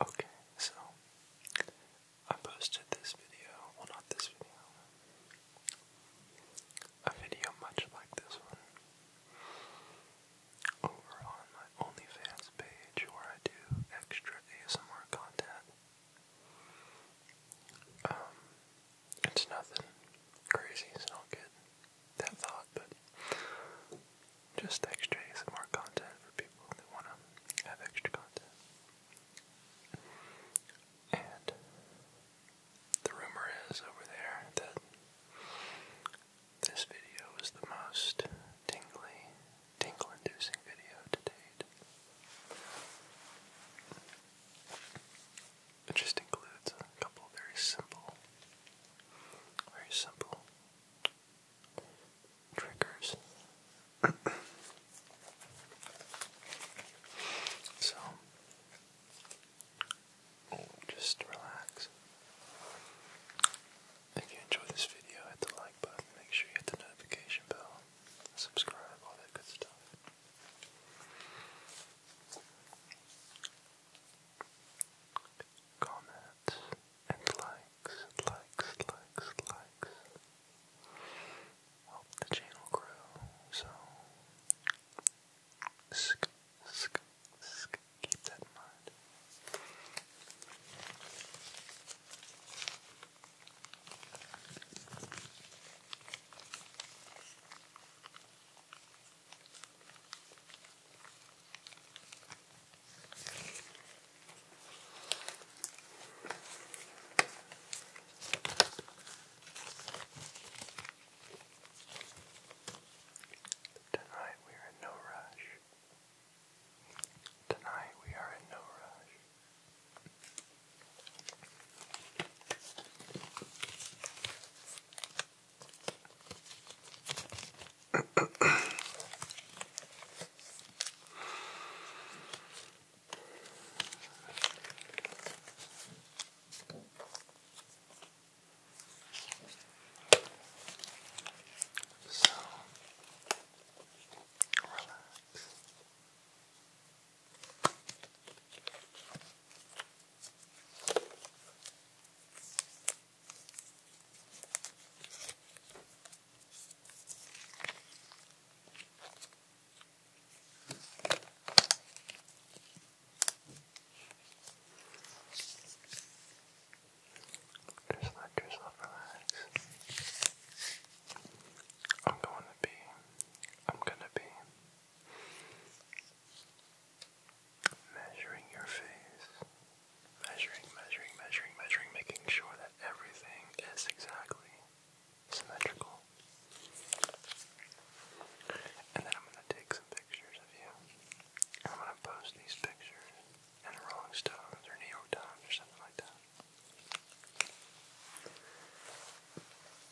Okay, so I posted this video, well, not this video, a video much like this one over on my OnlyFans page where I do extra ASMR content. Um, it's nothing crazy, it's not good that thought, but just extra some more content for people that want to have extra content. And the rumor is over there that this video is the most tingly, tingle-inducing video to date. It just includes a couple very simple very simple triggers. so just relax. If you enjoy this video, hit the like button, make sure you hit the notification bell, subscribe, all that good stuff comments, and likes, likes, likes, likes. Help the channel grow, so keep that in mind. Tonight we are in no rush. Tonight we are in no rush so relax. Just let yourself relax. I'm going to be, I'm going to be Measuring your face. Measuring, measuring, measuring, measuring, making sure that everything is exactly symmetrical. And then I'm going to take some pictures of you. I'm going to post these pictures in Rolling Stones or New York Times or something like that.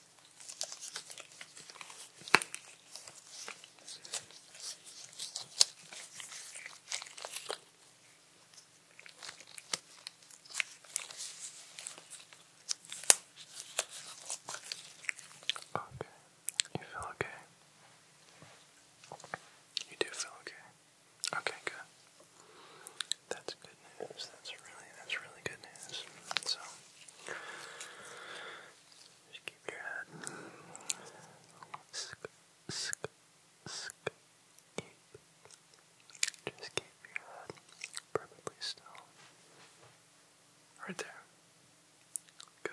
Okay, you feel okay? You do feel okay? Okay, good. That's good. That's really, that's really good news. So, just keep your head. Sk, sk, sk, keep. Just keep your head perfectly still. Right there. Good.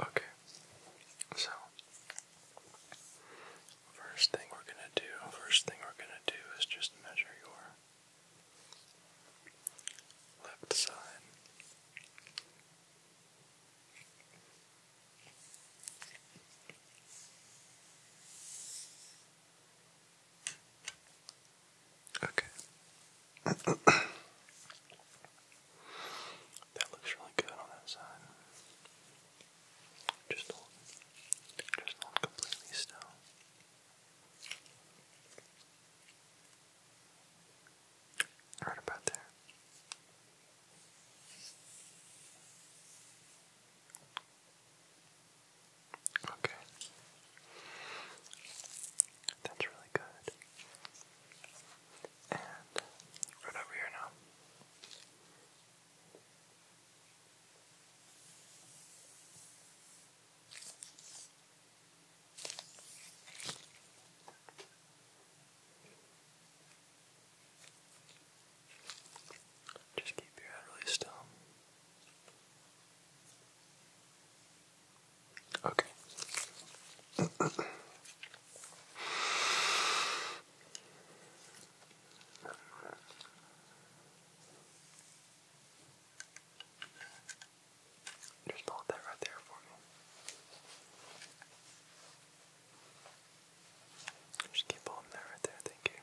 Okay, so first thing we're gonna do, first thing we're gonna do is just measure your left side Okay. that looks really good on that side. Just hold, just hold completely still. Right about there. Okay. That's really good. And right over here now. Just keep your head really still. Okay. Just hold that right there for me. Just keep holding that right there, thank you.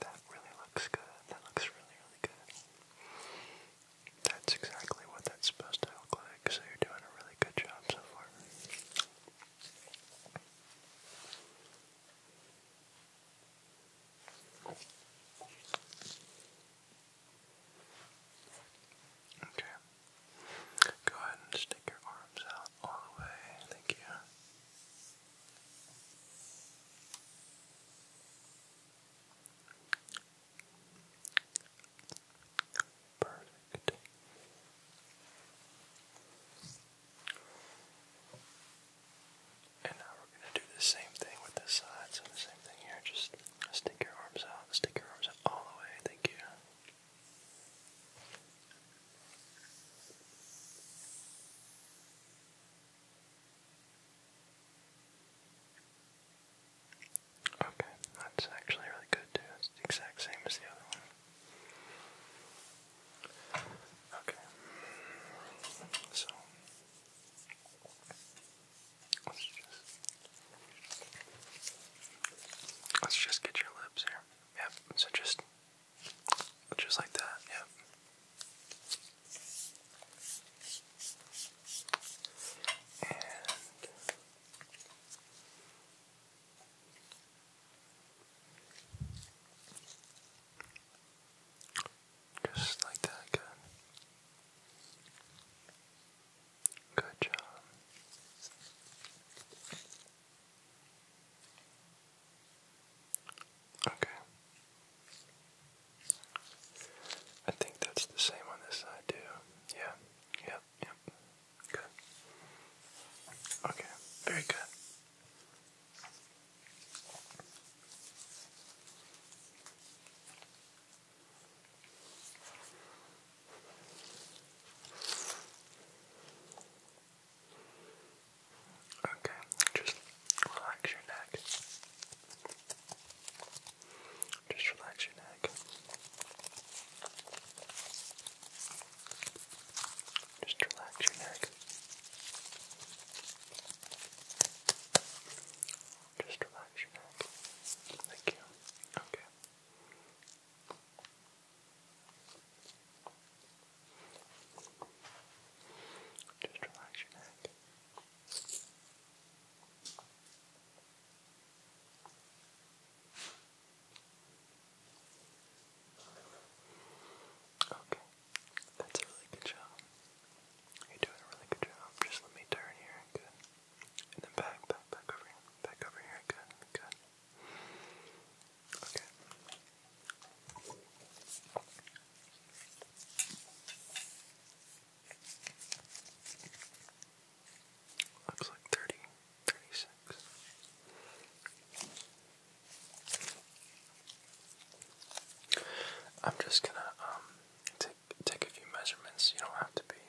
That really looks good. That looks really, really good. That's exactly what that's supposed to look like, so you're doing a really good job so far. Okay. Go ahead and stick your arms out all the way. Thank you. Perfect. And now we're going to do the same thing with this side. So the same thing here. Just stick your arms out. Stick your arms out all the way. Thank you. Okay, that's actually really good too. It's exact same as the other one. Okay, so Let's just get your lips here. Yep. So just just like that. Yep. And just like that, good. Good job. Okay. I think that's the same on this side too. Yeah. Yep. Yep. Good. Okay. Very good. Okay, just relax your neck. Just relax your neck. Just relax your neck. Just relax your neck. Thank you. Okay. Just relax your neck. Okay. That's a really good job. You're doing a really good job. Just let me turn here. Good. And then back, back, back over here. Back over here. Good. Good. Okay. Looks like 30, I'm just gonna um, take take a few measurements. You don't have to be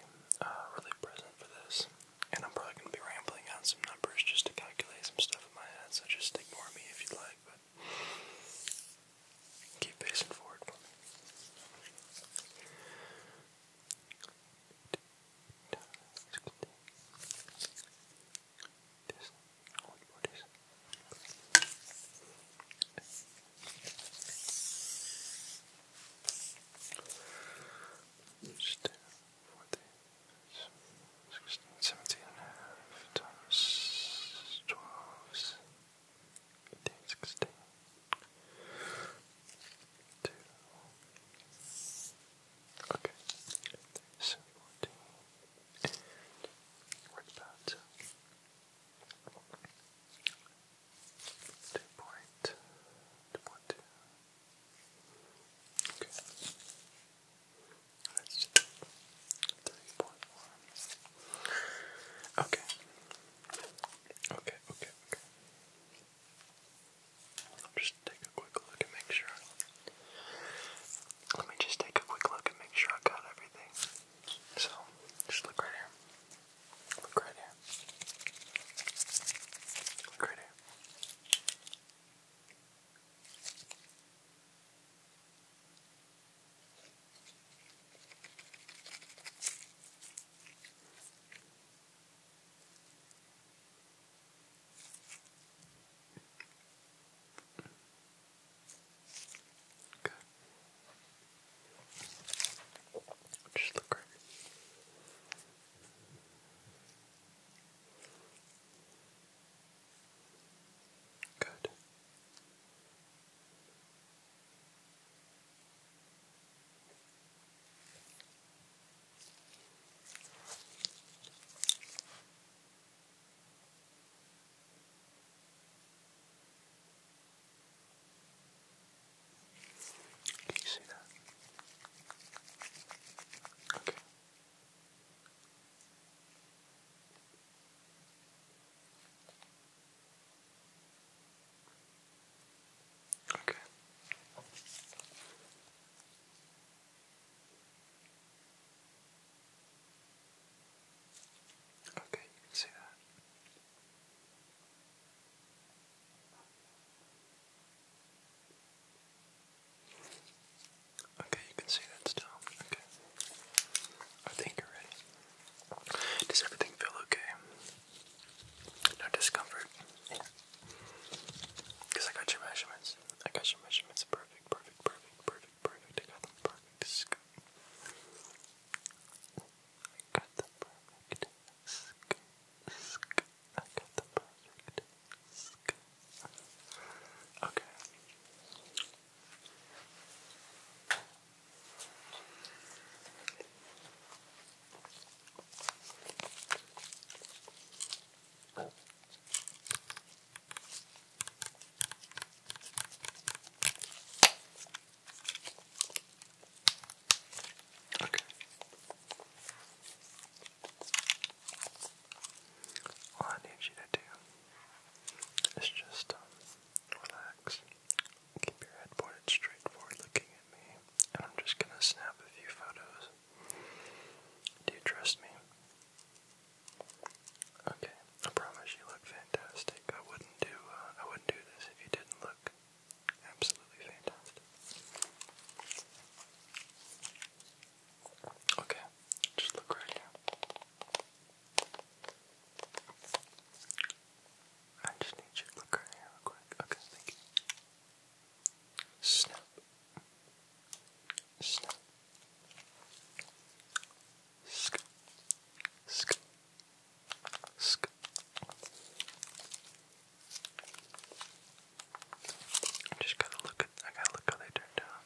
uh, really present for this, and I'm probably gonna be rambling on some numbers just to calculate some stuff in my head. So just ignore me if you'd like, but keep pacing for me. This I want for 16, 17 and a half times 12, 15, 16, 2, okay, 17, with that Okay. Let's do three point one. Okay. Okay, okay, okay. I'll just take a quick look and make sure let me just take a quick look and make sure I got everything. So, just look right here. Look right here. Look right here. Okay. Just look right. Good. Can you see that? Okay. Okay. Okay, you can see that. Okay, you can see that still. Okay. I think you're ready. Does everything feel okay? No discomfort? Because I got your measurements. I got your measurements, perfect, perfect, perfect, perfect, I got them perfect. Scoop. I got the perfect. Scoop. I got the perfect. Scoop. Okay. Okay. All I need you to do is just um, relax, keep your head pointed straight forward looking at me, and I'm just going to snap a few photos do you trust me? Okay, I promise you look fantastic. I wouldn't do uh, I wouldn't do this if you didn't look absolutely fantastic. Okay, just look right here. I just need you look right here real quick. Okay, thank you. Snap. Snap. Sk. Sk. Sk. I just gotta look at. I gotta look how they turned out.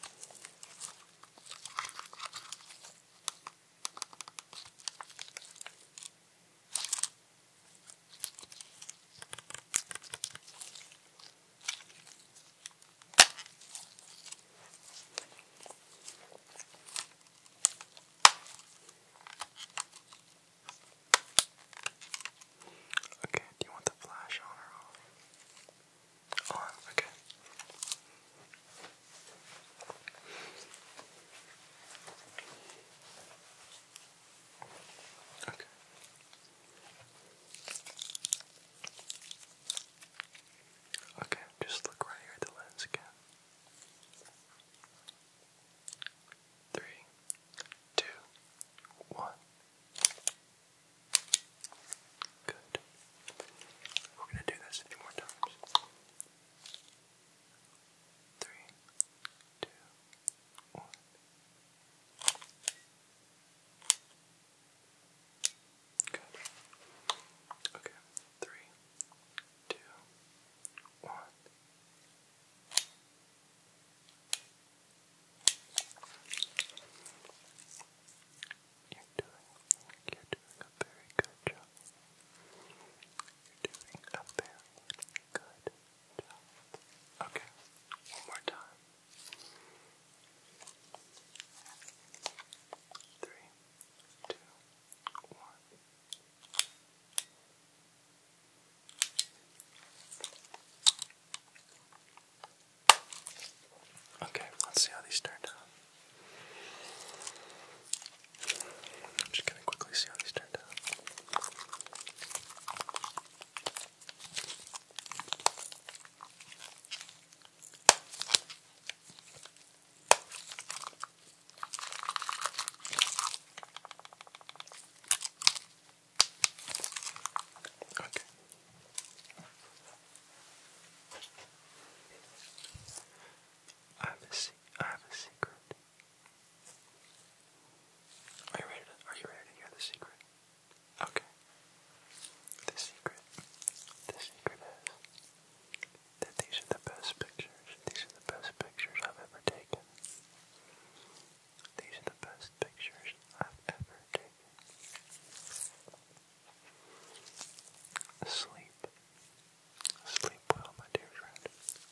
Okay, do you want the flash on or off? On, okay. Okay. Okay, just look right here at the lens again. Three, two, one. Good. We're going to do this a few more times. Three, two, one. Okay. Three, two, one. You're doing, you're doing a very good job. You're doing a very good Okay, one more time. Three, two, one. Okay, let's see how these turned out. I'm just gonna quickly see how these turned Okay. I have a se I have a secret. Are you ready to, are you ready to hear the secret? Okay. The secret. The secret is that these are the best pictures. These are the best pictures I've ever taken. These are the best pictures I've ever taken. Sleep. Sleep well, my dear friend.